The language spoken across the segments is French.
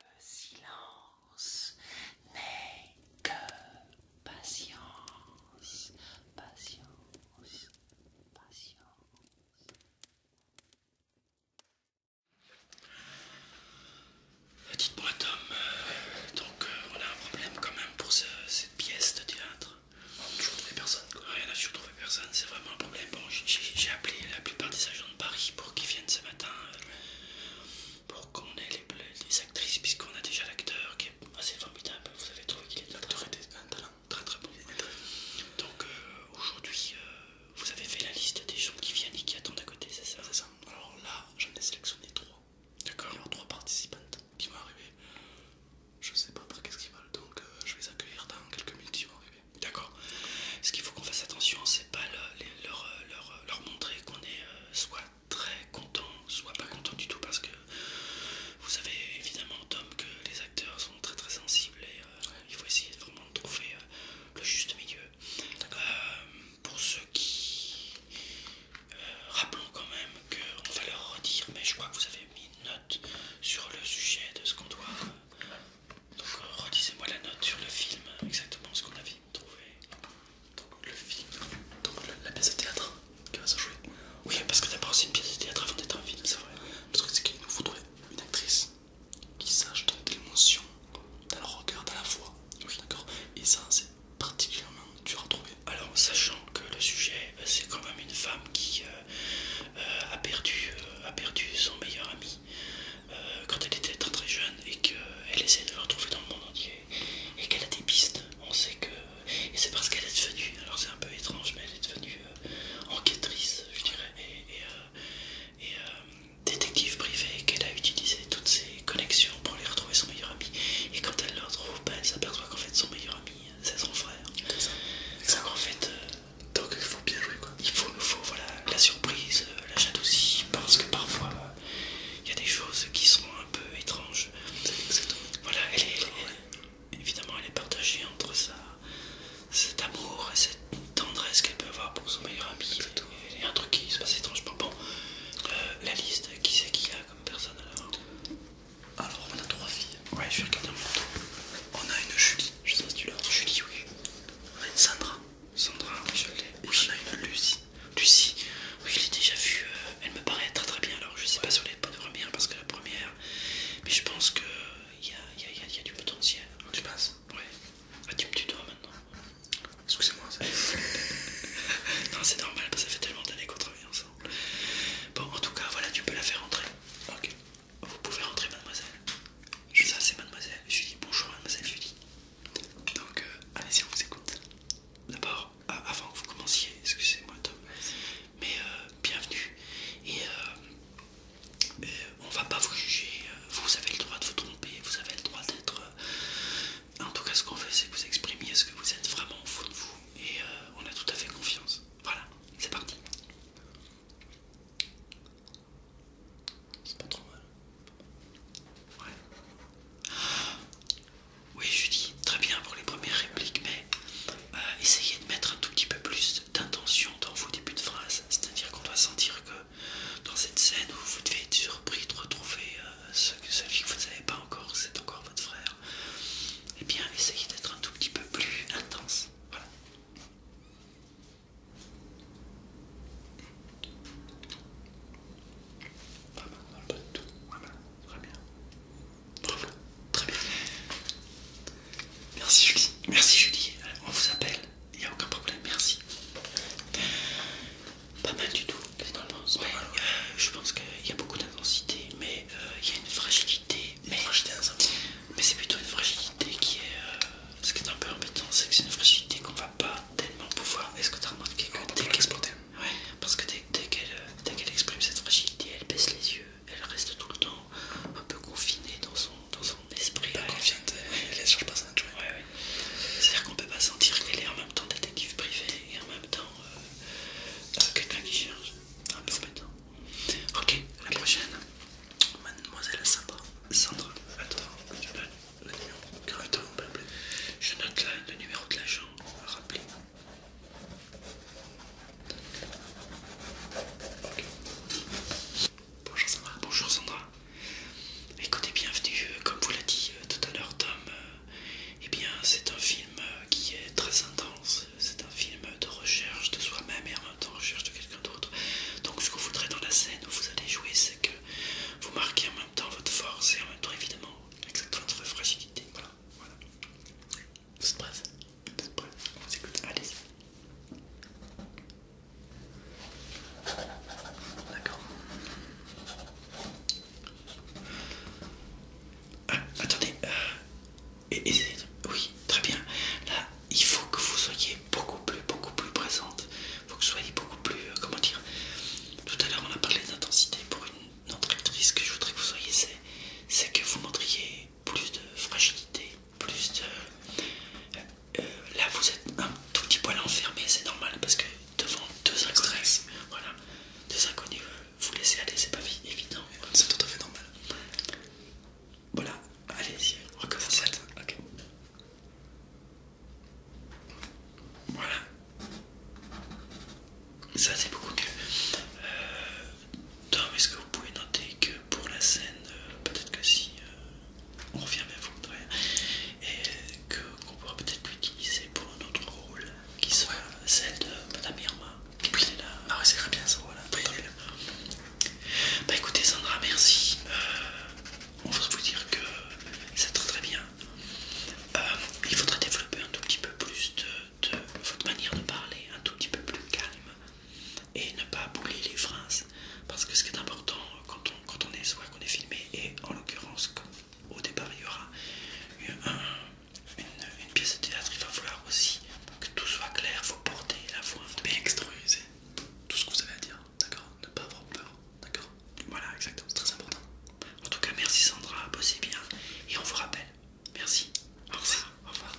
Le silence n'est que patience, patience, patience. Dites-moi Tom, euh, donc euh, on a un problème quand même pour cette pièce de théâtre. On n'a toujours trouvé personne quoi. n'a a toujours trouvé personne, c'est vraiment un problème. Bon, j'ai appelé la plupart des agents de Paris qui viennent ce matin, euh, pour qu'on ait les, actrices, puisqu'on a déjà l'acteur qui est assez formidable. Vous avez trouvé qu'il est un talent. très très bon. Donc euh, aujourd'hui, euh, vous avez fait la liste des gens qui viennent et qui attendent à côté, c'est ça ça. Alors là, j'en ai sélectionné trois. D'accord. Alors trois participantes qui vont arriver. Je sais pas par qu'est-ce qu'ils veulent, donc je vais les accueillir dans quelques minutes, ils vont arriver. D'accord Ce qu'il faut qu'on fasse attention, c'est pas euh, euh, leur, montrer qu'on est euh, soit très content, soit pas content du tout, parce que vous savez évidemment, Tom, que les acteurs sont très très sensibles et il faut essayer vraiment de trouver le juste milieu. D'accord. pour ceux qui. rappelons quand même qu'on va leur redire, mais je crois que vous avez mis une note sur le sujet de ce qu'on doit. Donc redisez-moi la note sur le film, exactement ce qu'on a vu trouvé. Donc le film, la pièce de théâtre qui va se jouer. Oui, parce que d'abord c'est une pièce de théâtre avant d'être un film, c'est vrai. Parce que c'est qu'il nous faudrait une actrice qui sache donner de l'émotion dans le regard, dans la voix. d'accord. Et ça, c'est particulièrement dur à trouver. Alors, sachant que le sujet, euh, c'est quand même une femme qui euh, euh, a perdu, a perdu son meilleur ami euh, quand elle était très très jeune et qu'elle euh, essayait de le retrouver dans le monde entier et qu'elle a des pistes. On sait que. Et c'est parce qu'elle est devenue, alors c'est un peu étrange, mais elle est devenue euh, enquêtrice, je dirais, et, détective privée, qu'elle a utilisé toutes ses connexions pour aller retrouver son meilleur ami. Et quand elle le retrouve, ben, elle s'aperçoit qu'en fait son meilleur ami, c'est son frère. C'est ça. fait, donc il faut bien jouer quoi. Il faut, nous faut voilà, la surprise, euh, la jalousie, parce que parfois euh, il y a des choses qui sont un peu étranges. Voilà, elle est, évidemment elle est partagée entre ça, cet amour et cette tendresse qu'elle peut avoir pour son meilleur ami. Il y a un truc qui se passe étrangement. Bon, euh, la liste, qui c'est qui a comme personne alors alors on a trois filles. Ouais, je vais regarder en On a une Julie je sais pas si tu l'as. Je oui. On a une Sandra. Sandra, je l'ai. Oui. Et on une Lucie. Lucie, oui, je l'ai déjà vue. Euh, elle me paraît très très bien. Alors, je sais pas sur les parce que la première. Mais je pense que il y a, du potentiel. Oh, tu penses Ouais. Ah, tu me tutoies maintenant. Excusez-moi. ça non, c'est normal parce que ça fait tellement d'années qu'on travaille ensemble. Bon, en tout cas, voilà, tu peux la faire entrer. Ok. Vous pouvez rentrer mademoiselle. ça c'est mademoiselle. Je dis bonjour, mademoiselle Julie. Donc, euh, allez-y, on vous écoute. D'abord, euh, avant que vous commenciez, excusez-moi, Tom, mais euh, bienvenue. Et on va pas vous juger. Vous avez le droit de vous tromper, vous avez le droit d'être. En tout cas, ce qu'on veut, c'est que vous exprimiez ce que vous êtes vraiment au fond de vous. Et on a tout à fait confiance. Voilà, c'est parti. C'est pas trop mal. Ouais. Oui, dis très bien pour les premières répliques, mais euh, essayez de mettre un tout petit peu plus d'intention dans vos débuts de phrase. C'est-à-dire qu'on doit sentir que dans cette scène où vous devez être surpris de retrouver euh, celui que vous ne savez pas encore, c'est encore votre frère, Et eh bien, essayez d'être un tout petit peu plus intense. Voilà. Pas très bien. très bien. Merci Julie, merci Julie, euh, on vous appelle, il n'y a aucun problème, merci. Pas mal du tout, C'est euh, je pense qu'il y a beaucoup d'intensité, mais euh, il y a une fragilité Hein, mais, c'est plutôt une fragilité qui est. Euh, ce qui est un peu embêtant, c'est que c'est une fragilité qu'on va pas tellement pouvoir. Est-ce que tu as remarqué que dès qu'elle exprime, parce que dès, qu'elle exprime cette fragilité, elle baisse les yeux, elle reste tout le temps un peu confinée dans son, dans son esprit. Pas confiante, euh, elle ne cherche pas ça. Ouais, C'est-à-dire qu'on ne peut pas sentir qu'elle est en même temps détective privée et en même temps euh, quelqu'un qui cherche. Un peu embêtant. Ok, à la prochaine. Mademoiselle Sandra. Sandra, attends, je note le numéro. de l'agent. Rappelez. Bonjour Sandra. Bonjour Sandra. Écoutez, bienvenue. Euh, comme vous l'a dit euh, tout à l'heure Tom, euh, eh bien c'est un film qui est très intense. C'est un film de recherche de soi-même en recherche de quelqu'un d'autre. Donc ce que vous voudrez dans la scène où vous allez jouer, c'est que vous marquez en même temps votre force et en même temps évidemment exactement votre fragilité. Voilà, voilà. Vous êtes prêts Vous êtes prêts On s'écoute, allez D'accord. Ah, attendez, euh, et, oui, très bien. Là, il faut que vous soyez beaucoup plus, beaucoup plus présente. Il faut que vous soyez beaucoup plus, euh, comment dire. Tout à l'heure, on a parlé d'intensité pour une, autre Ce que je voudrais que vous soyez, c'est que vous montriez plus de fragilité, plus de. Euh, euh, là, vous êtes un tout petit poil enfermé, c'est normal parce que devant deux inconnus, voilà, deux inconnus, vous laissez aller, c'est pas évident. C'est tout à fait normal. Voilà, allez-y, recommence. Voilà. Ça c'est beaucoup que... Euh, est-ce que vous pouvez noter que pour la scène, euh, peut-être que si euh, on revient à vous, ouais, et qu'on pourra peut-être l'utiliser pour un autre rôle qui soit celle de Madame Irma. Qui est là. Ah c'est très bien ça. Voilà, très bien. Bah écoutez Sandra, merci. Euh, on va vous dire que c'est très très bien. Euh, il faudrait développer un tout petit peu plus de, votre manière de parler, un tout petit peu plus calme et ne pas bouler les phrases. Parce que ce qui est important euh, quand on, quand on est soit qu'on est filmé, et en l'occurrence au départ il y aura une pièce de théâtre, il va falloir aussi que tout soit clair, faut porter la voix, bien extérioriser tout ce que vous avez à dire, d'accord Ne pas avoir peur, d'accord Voilà, exactement, c'est très important. En tout cas, merci Sandra, bossez bien et on vous rappelle. Merci. Au revoir. Au revoir.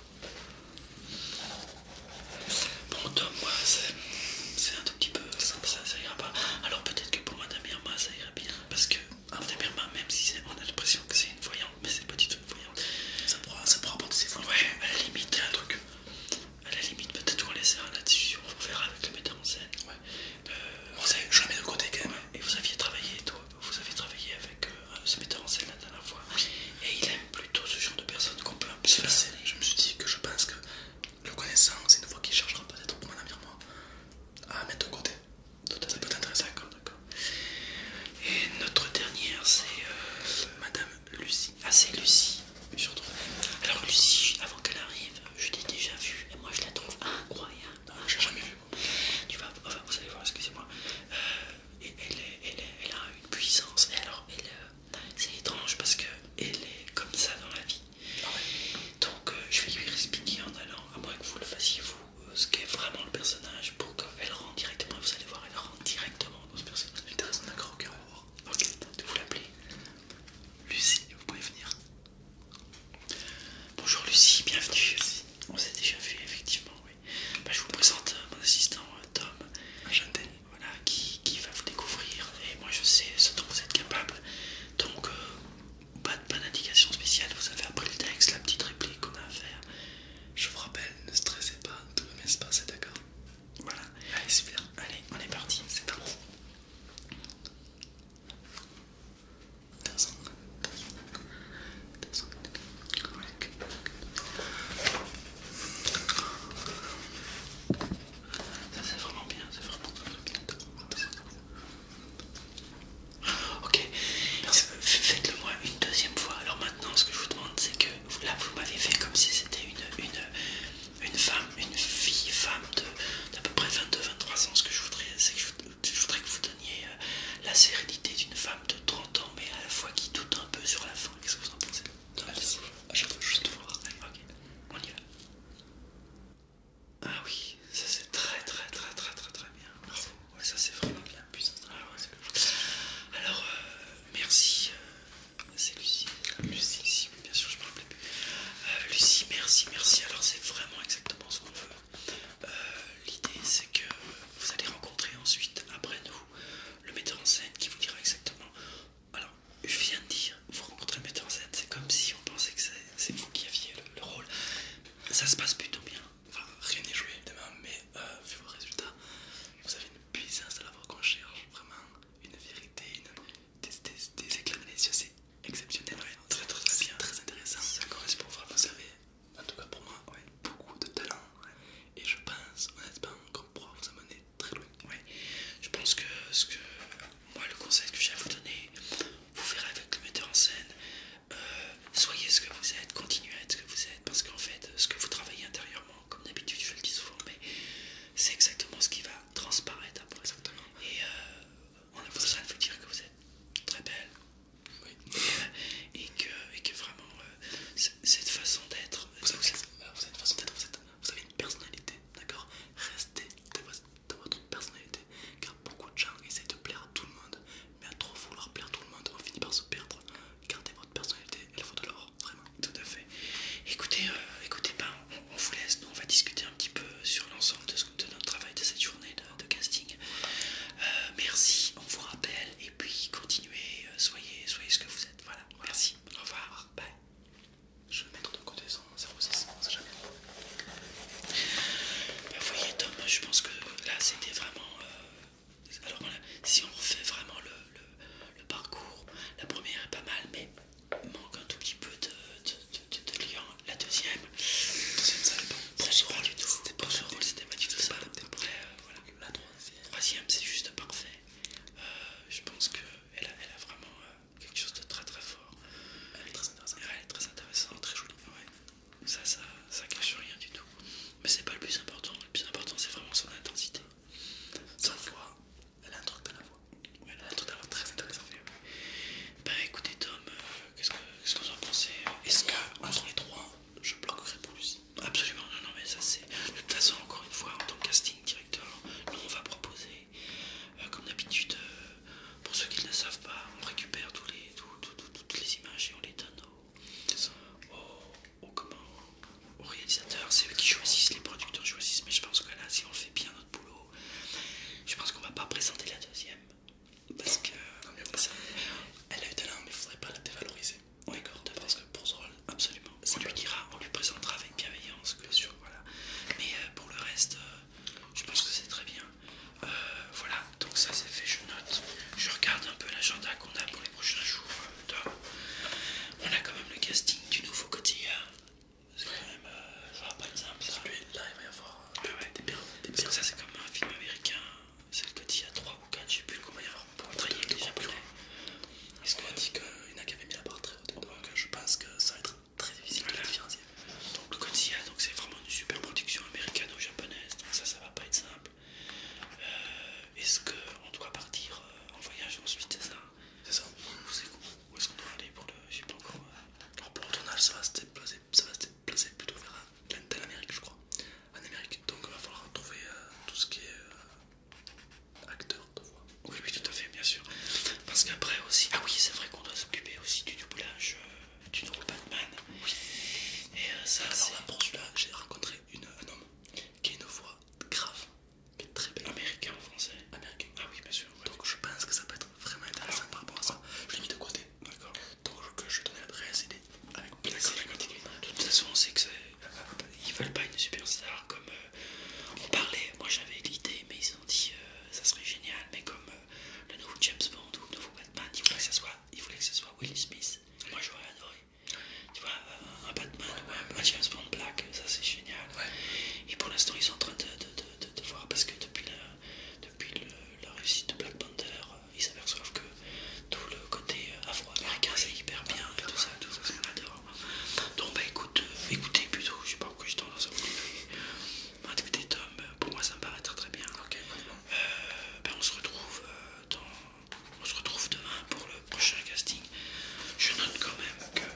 Bon, toi, moi, c'est un tout petit peu ça, ça ira pas. Alors peut-être que pour Madame Irma, ça ira bien. Parce que ah Madame même si on a l'impression que c'est une voyante, mais c'est pas petit Ça pourra, ça pourra ses voix. Ouais, à la limite, il un truc. Euh, à la limite, peut-être qu'on laissera la discussion, on verra avec le metteur en scène. Ouais. Euh, vous savez, je le mets de côté quand même. Et vous aviez travaillé, toi, vous avez travaillé avec euh, ce metteur en scène la dernière fois. Et il aime plutôt ce genre de personnes qu'on peut plus peu Je me suis dit que je pense que le connaissant, c'est une fois qu'il cherchera peut-être pour mon ami à moi à mettre de côté. Tout Ça peut t'intéresser. d'accord. Et notre dernière, c'est euh, Madame Lucie. Ah, c'est Lucie, je Alors, Lucie, avant qu'elle arrive, je l'ai déjà vue et moi je la trouve incroyable. Ah, je l'ai jamais vue. Tu vas, vous allez voir, excusez-moi. Euh, elle, elle, a une puissance. Et alors, euh, c'est étrange parce que elle est comme ça dans la vie. Ah Donc, je vais lui expliquer en allant, à moins que vous le fassiez vous, ce qu'est vraiment le personnage pour qu'elle rentre directement. Vous allez voir, elle rend directement vous l'appeler. Lucie, vous pouvez venir. Bonjour Lucie, bienvenue. Lucie. On s'est déjà vu, effectivement, oui. Bah, je vous présente euh, mon assistant euh, Tom. Voilà, qui, va vous découvrir. Et moi, je sais ce dont vous êtes capable. Donc, euh, pas, pas d'indication spéciale. Vous avez appris le texte, la petite réplique qu'on a à faire. Je vous rappelle, ne stressez pas, tout le monde se passer, d'accord Voilà. Allez, super. Allez, on est parti. C'est parti. Ça c'est vraiment bien, c'est vraiment bien. Ok, euh, faites-le moi une deuxième fois. Alors non, ce que je vous demande c'est que là vous m'avez fait comme si c'était une, une, femme, une fille, femme d'à peu près 22-23 ans. Ce que je voudrais c'est que je, voudrais que vous donniez euh, la sérénité d'une femme de 30 ans mais à la fois qui doute un peu sur la fin. Qu'est-ce que vous en pensez ah, Je On y va. Ah oui, ça c'est très très très très très très bien. Merci. Ouais, ça c'est vraiment bien, puissance ah, Alors, euh, merci. Euh, c'est Lucie. Lucie, bien sûr, je me euh, Lucie, merci, merci. Alors, c'est vraiment exactement ce qu'on veut. L'idée, c'est que vous allez rencontrer ensuite, après nous, le metteur en scène qui vous dira exactement. Alors, je viens de dire, vous rencontrez le metteur en scène, c'est comme si on pensait que c'est vous qui aviez le rôle. Ça se passe plutôt bien rien n'est joué évidemment, mais euh, vu vos résultats, vous avez une puissance à la voix qu'on cherche, vraiment une vérité, une... des, des, c'est exceptionnel, très très bien, très intéressant. Ça correspond vraiment, vous savez. en tout cas pour moi, beaucoup de talent, et je pense honnêtement qu'on pourra vous amener très loin. Je pense que ce que moi, le conseil que j'ai à vous donner, vous verrez avec le metteur en scène soyez ce que vous êtes, continuez à être ce que vous êtes, parce qu'en fait, ce que vous travaillez intérieurement, comme d'habitude, je le dis souvent, mais c'est exactement ce qui va transparaître Et euh, on a besoin de vous dire que vous êtes très belle. Et, que, vraiment, euh, cette façon d'être. Vous, euh, avez une façon d'être, vous, avez une personnalité, d'accord Restez dans votre personnalité, car beaucoup de gens essaient de plaire à tout le monde, mais à trop vouloir plaire à tout le monde, on finit par se perdre gardez votre personnalité, elle vaut de l'or, vraiment, tout à fait. Écoutez, euh, écoutez, ben, on, vous laisse, nous on va discuter un petit peu sur l'ensemble de, notre travail de cette journée de, casting. Euh, merci, on vous rappelle, et puis continuez, euh, soyez, soyez ce que vous êtes, voilà, merci, au revoir, bye. Je vais mettre de côté son 06, ça jamais. vous voyez Tom, je pense que là c'était vraiment... Alors voilà, si on refait vraiment le, parcours, la première est pas mal, mais manque un tout petit peu de, de, liant. La deuxième, c'est c'était pas du tout ça. Après, euh, voilà. La troisième, c'est juste parfait. Euh, je pense qu'elle a, elle a vraiment euh, quelque chose de très très fort. Elle est très intéressante. très très jolie ça, ça, ça cache rien du tout. Mais c'est pas le plus important, le plus important c'est vraiment son intensité. Sa voix, elle a un truc dans la voix. elle a un truc dans la voix très intéressant. Bah écoutez Tom, euh, qu'est-ce que vous en pensez Est-ce que entre les trois, je bloquerai plus Absolument, non, non, mais ça c'est... De toute façon, encore une fois, en tant que casting directeur, nous on va proposer, euh, comme d'habitude, euh, pour ceux qui ne savent pas, on récupère tous les, toutes les images et on les donne au, comment, au réalisateur, c'est eux qui choisissent, les producteurs choisissent, mais je pense que là, si on fait bien notre boulot, je pense qu'on va pas présenter la deuxième. Parce que elle a eu talent, mais il faudrait pas la dévaloriser. Oui, parce que pour ce rôle, absolument. On lui dira, on lui présentera avec bienveillance, voilà. Mais euh, pour le reste, euh, je pense que c'est très bien. Euh, voilà, donc ça c'est fait, je note. Je regarde un peu l'agenda qu'on a pour les prochains jours. Euh, On a quand même le casting du nouveau Godzilla, C'est euh, ça va pas être simple ça. là il va y avoir ah des perles. Parce que ça c'est comme un film américain. C'est le quotidien 3 ou 4, je sais plus combien il va y avoir pour travailler avec les japonais. Est-ce qu'on a dit qu'il y en a la très haute Donc je pense que ça va être très difficile de la faire. Donc le quotidien, donc c'est vraiment une super production américano japonaise. Donc ça, ça va pas être simple. Euh, est-ce qu'on doit partir euh, en voyage ensuite, c'est ça C'est ça Où est-ce qu'on doit aller pour le... J'ai pas encore... Euh. Alors pour le tournage, ça va se déplacer, ça va se déplacer plutôt vers l'Amérique, je crois. En Amérique, donc il va falloir trouver tout ce qui est... acteur de voix. Oui, oui, tout à fait, bien sûr. Parce qu'après aussi... Ah oui, c'est vrai qu'on doit s'occuper aussi du doublage du nouveau Batman. Et euh, ça, c'est. Là, pour celui-là, j'ai rencontré une, un homme qui a une voix grave, mais très belle. Américain en français Américain. Ah oui, bien sûr. Donc je pense que ça peut être vraiment intéressant par rapport à ça. Je l'ai mis de côté. D'accord. Donc je vais donner l'adresse, et avec De toute façon, on sait que euh, ils veulent pas une superstar comme euh, on parlait. Moi j'avais l'idée, mais ils ont dit ça serait génial, mais comme le nouveau James Bond ou le nouveau Batman, ils voulaient que ça soit il voulait que ce soit Will Smith. Moi j'aurais adoré. Tu vois, euh, un Batman ou un James Bond Black, ça c'est génial. Et pour l'instant, ils sont en train de, voir parce que depuis la, réussite de Black Panther, euh, ils s'aperçoivent que tout le côté euh, afro-américain c'est hyper bien tout ça, tout ça, Donc bah écoute, écoutez plutôt, je sais pas pourquoi je t'en lance Tom, pour moi ça me paraît très très bien. Euh, ben, on, se retrouve euh, on se retrouve demain pour le prochain casting. Je note quand même que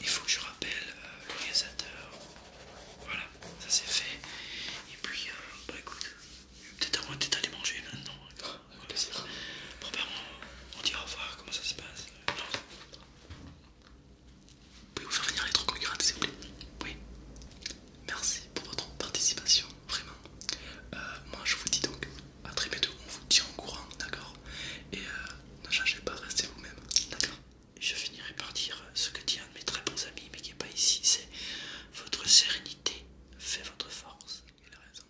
il faut que je rappelle euh, le réalisateur, Voilà, ça c'est fait. Et puis, bah écoute, peut-être avant d'être allé manger maintenant. Ah, ben, on, dira dit au revoir, comment ça se passe. Pouvez-vous faire venir les trois concurrents, s'il vous plaît Oui. Merci pour votre participation, vraiment. Euh, moi, je vous dis donc à très bientôt. On vous tient au courant, d'accord Et euh, ne changez pas, restez vous-même, d'accord Je finirai par dire ce que dit un de mes très bons amis, mais qui n'est pas ici c'est votre sérénité fait votre force. Il a raison.